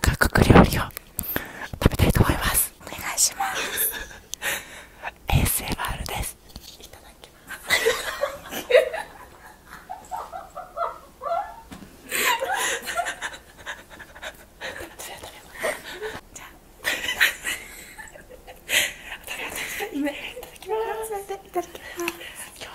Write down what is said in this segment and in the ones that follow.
韓国料理を食べたいと思いますお願いします ASMR ですいただきますじゃあ今いただきいただきます今日は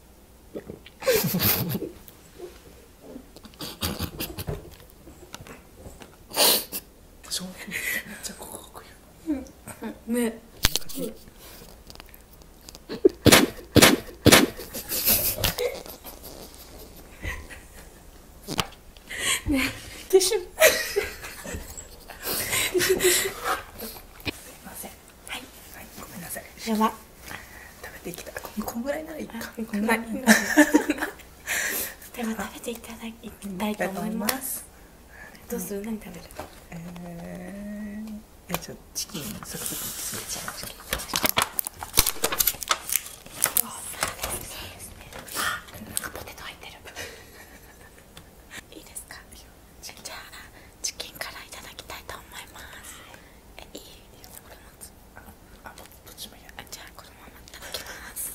正面めっうのねねすいませんはい、ごめんなさいやば食べてきたここんぐらいならいいかい では食べていきたいと思いますどうする何食えじゃチキンサクいいですかじゃあチキンからいただきたいと思います いただきます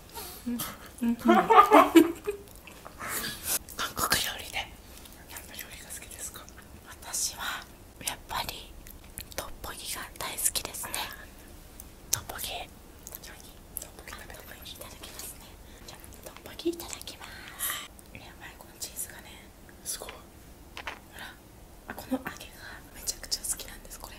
う韓国料理で何の料理が好きですか私はやっぱりトッポギが大好きですねトッポギいただきますねトッポギいただきますやばいこのチーズがねすごいほらこの揚げがめちゃくちゃ好きなんですこれ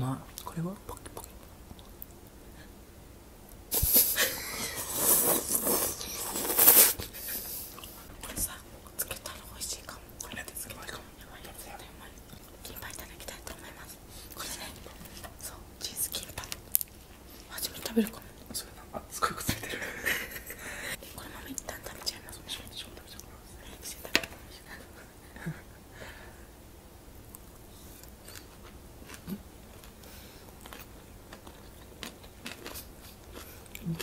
まあこれはポキポキこれさつけたら美味しいかもこれでつけたらやばいやつやばいいただきたいと思いますこれねそうチーズキンパ初めて食べるかもそれすごいくついてる このままいますね食べちゃいますうん。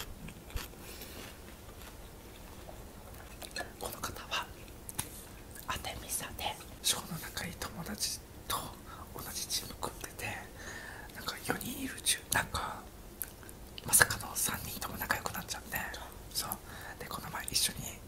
この方はアテミサで小の仲いい友達と同じチーム組んでてなんか4人いる中なんかまさかの3人とも仲良くなっちゃってそうでこの前一緒に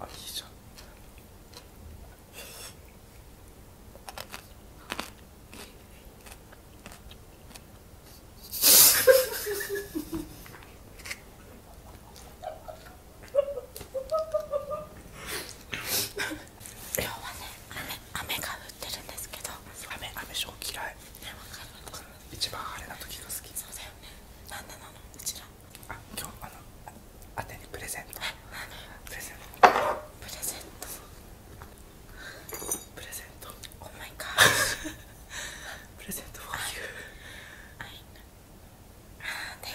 あいいじゃん今日はね雨雨が降ってるんですけど雨雨ショー嫌いねわかる一番晴れな時が好きそうだよねなんでなのうちら今日あのあてにプレゼントプレゼントプレゼントプレゼントオーマイプレゼントフォーユー Thank you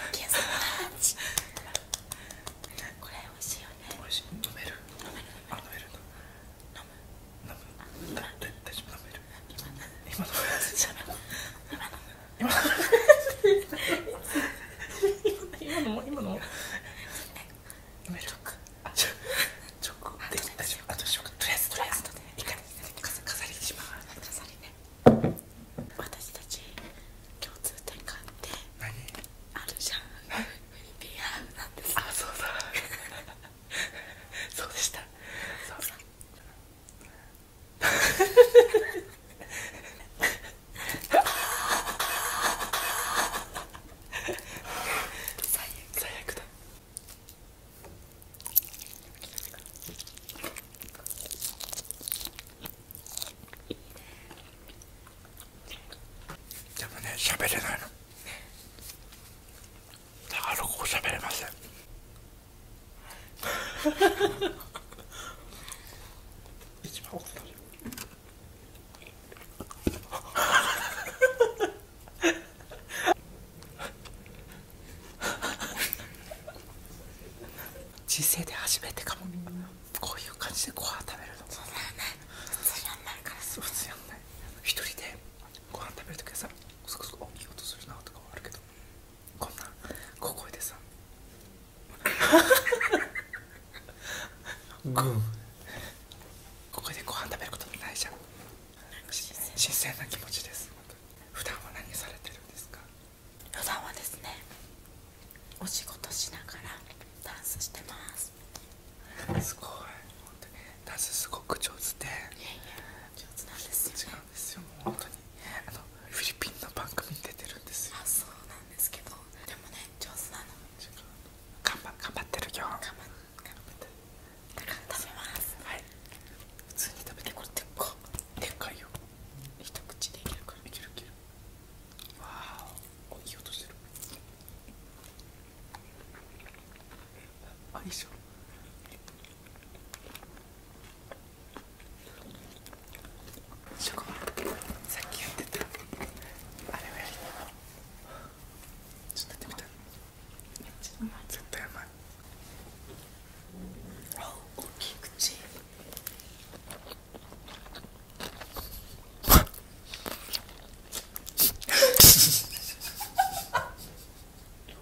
これ美味しいよね飲める飲める 飲む飲む今今のも今のも飲めるチョコできたしあとしようかとりあえずとりあえず一回飾りにします飾りね私たち共通点があって何あるじゃんフィリピンハウなんですあそうだそうでしたそう最悪だでもね喋れないのだからここ喋れません一番奥だじ人生で初めてかも、こういう感じでご飯食べるのそうだよね普通やんないから普通やんない一人でご飯食べるときはさそこそこいい音するなとかはあるけどこんな小声でさ ここでご飯食べることもないじゃん新鮮な気持ちです普段は何されてるんですか普段はですねお仕事しながらダンスしてますすごいダンスすごく上手でいやいや上手なんですよ、なんで本当にあのフィリピンの番組に出てるんですよあそうなんですけどでもね上手なの頑張頑張ってるよ頑張ってだ食べますはい普通に食べてこれでっかでっかいよ一口でいけるからいけるいけるわあおいい音してるあいいじゃんショコさっきやってたあれをやりながちょっとやってみためっちゃうまい絶対うまいあ大きい口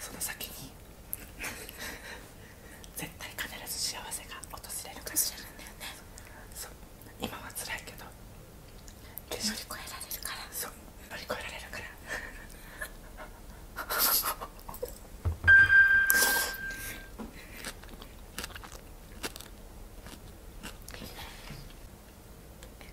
その先に 絶対必ず幸せが訪れるかもしれないんだよね今は辛いけど乗り越えられるからそう乗り越えられるから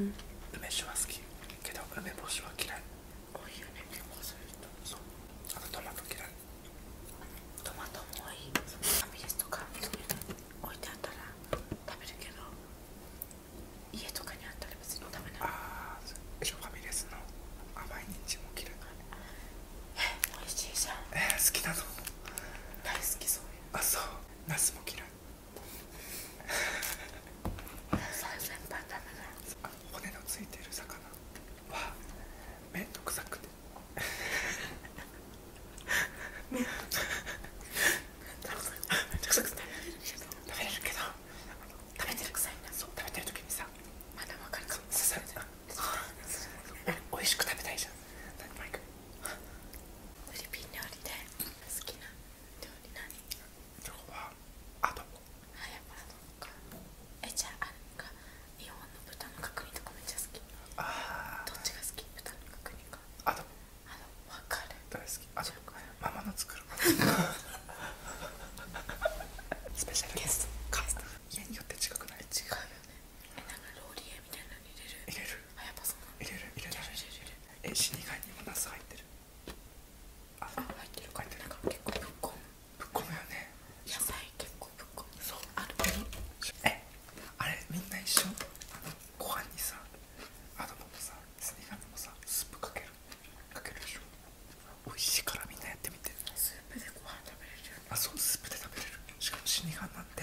うん、し酒は好きけど梅干しは嫌い多いよね結構する人そうあとトマト嫌いトマトもいいファミレスとか置いてあったら食べるけど家とかにあったら別に食べないああファミレスの甘いも嫌いえ美味しいじゃんえー、好きなの大好きそういうあそうナスも嫌い骨のついてる魚は面倒くさくて面倒くさくて食べれるけど食べてるくさいなそう食べてる時にさまだわかるかも刺されて美味しく食べたいじゃんフィリピン料理で好きな料理何今日はアドボあやっアドボ日本の豚の角煮とかめっちゃ好きどっちが好き豚の角煮かアドボあの分かる大好あそうママの作るスペシャルゲスト家によって近くない違うローリエみたいなのに入れる入れるあ入れる入れる入れるえ死に貝にもナス入ってるあ入ってる入ってるか結構ぶっこむぶっこむよね野菜結構ぶっこむそうあるえあれみんな一緒ご飯にさあドボもさスニガミもさスープかけるかけるでしょ美味しいからみんなやってみてスープでご飯食べれるあそうスープで食べれるしかも死にがんなんて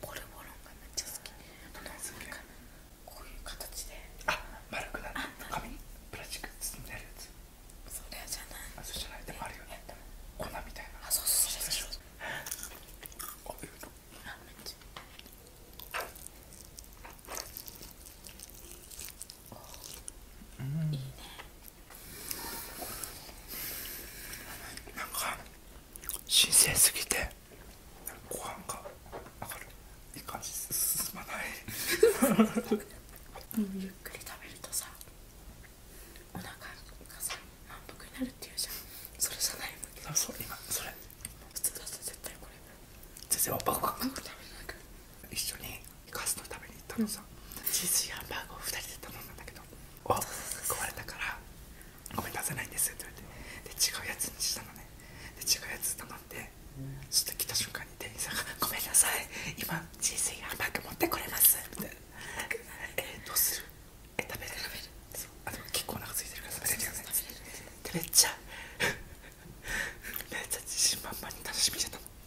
ボルボロンがめっちゃ好きこういう形であ丸くなる紙プラスチック包んでるやつそれじゃないあそれじゃないでもあるよね粉みたいなあそうそうあいいねなんか新鮮すぎてご飯が上がるいい感じ進まない ゆっくり食べるとさお腹がさ満腹になるっていうじゃんそれじゃないもんねそれ今それ普通だと絶対これ全然バクバクバク食べなく一緒にカスト食べに行ったのさ、うん、チーズハンバーグを2人で頼んだんだけどを壊れたからごめん出せないんですって言われてで違うやつにしたのねで違うやつ頼んでちょっと来た瞬間に店員さんが「ごめんなさい今人生ハンバーグ持ってこれます」みたいな「えどうするえ食べる食べるそうあでも結構お腹空いてるから食べれるよね」でめっちゃ めっちゃ自信満々に楽しみじゃったの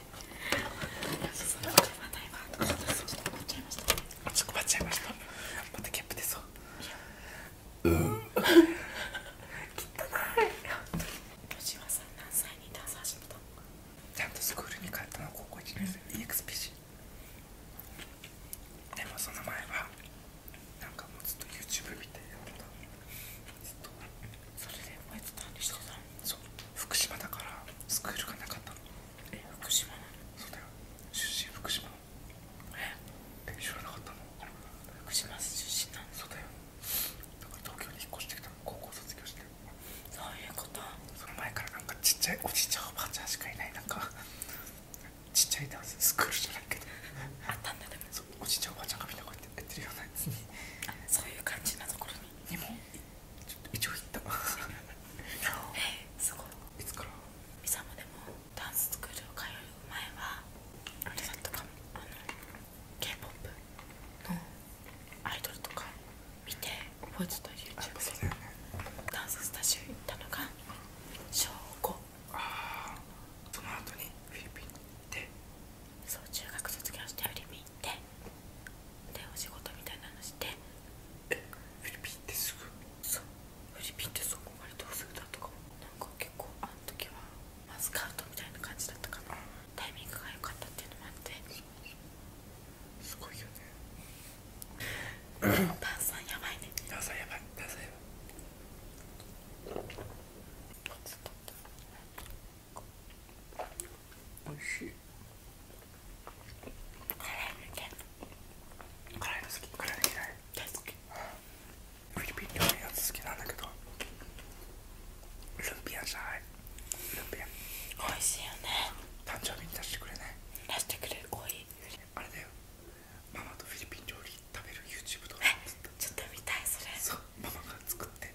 してそこばっちゃいましたまたキャップでそううーん汚い吉羽さん何歳にダンス始めたのちゃんとスクールに帰ったのは高校1年生で EXPC でもその前はなんかもうずっと YouTube 見てやってたずっとそれで覚えてたんでしょそう福島だからスクールがなかったの福島のそうだよ出身福島え知らなかったの福島出身なのそうだよだから東京に引っ越してきた高校卒業してそういうことその前からなんかちっちゃいおじいちゃんおばあちゃんしかいないなんかちっちゃいダンススクールじゃないけどあったんだでもそうおじいちゃんおばあちゃんがみんなこうやってやってるようなやつにそういう感じなところににも一応言ったすごいいつからいつまでもダンススクールを通う前はあれだったかもあの k p o p のアイドルとか見て覚えてと YouTube で、ダンススタジオ行ったのが小5あその後にフィリピンに行ってそう中学卒業してフィリピ行でお仕事みたいなのしてえフィリピンってすぐそうフィリピンってそこまでどうすぐだとかもなんか結構あの時はマスカートみたいな感じだったかなタイミングが良かったっていうのもあってすごいよね炭酸やばいね炭酸やばい炭酸やばいちょっとおいしい辛いの嫌い辛いの好き辛い大好きフィリピン料理や好きなんだけどルンピアじゃないルンピア美味しいよね誕生日に出してくれない出してくれる多いあれだよママとフィリピン料理食べる YouTube 動画ちょっと見たいそれそうママが作って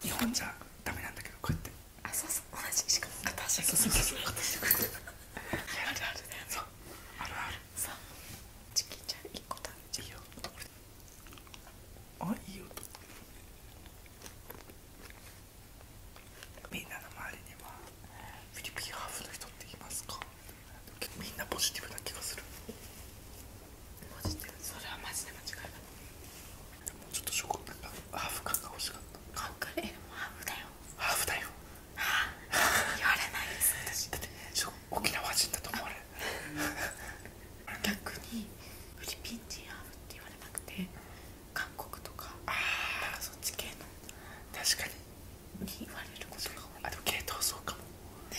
日本じゃダメなんだけどこうやってあいいよみんなの周りにはフィリピンハーフの人っていますかみんなポジティブな気がするマジでそれはマジで間違いないもうちょっとショコなんかハーフ感が欲しかったカンカもハーフだよハーフだよあ、あ言われないです私だって沖縄人だと思われる逆にフィリピン人ハーフって言われなくて韓国とかああそっち系の確かにに言われることが多いあでも系統そうかもね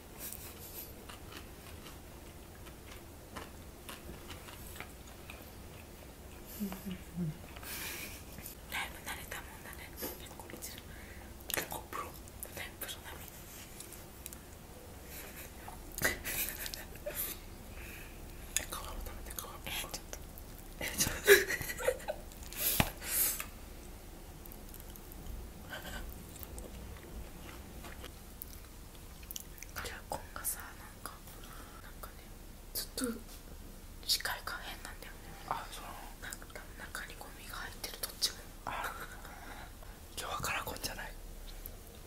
だいぶ慣れたもんだねこれちらコプロだいぶプロ並み皮を食べて皮をえちょっとえちょっとカレーコンがさなんかなんかねずっと視界が変なんだよねあそうなんか多分中にゴミが入ってるどっちもあ今日はカラコンじゃない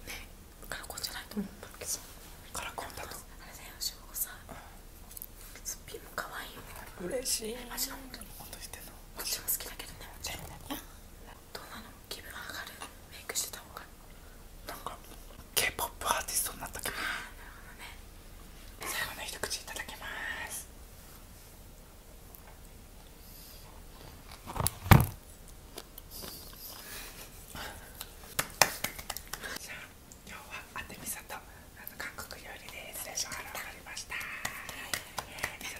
ねカラコンじゃないと思うんだけどカラコンだとあれだよしょうさすっぴんも可愛いよ嬉しいマジ本当に本当にしてんのこっちも好きだけどね全然どうなの気分上がるメイクしてた方がなんか K-POP アーティストになった気分なるほ最後の一口いただきますじゃあ今日はあテミサとあの韓国料理で失礼しまわかりました。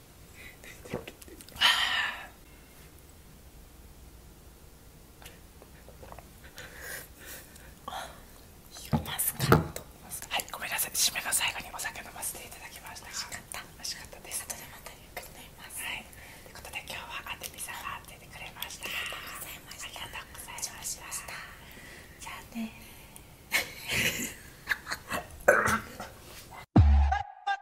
マスカットはいごめんなさい締めの最後にお酒飲ませていただきました美味しかった美味しかったです後でまたゆっくり飲みますはいということで今日はアンデさんが出てくれましたありがとうございましたありがとうございました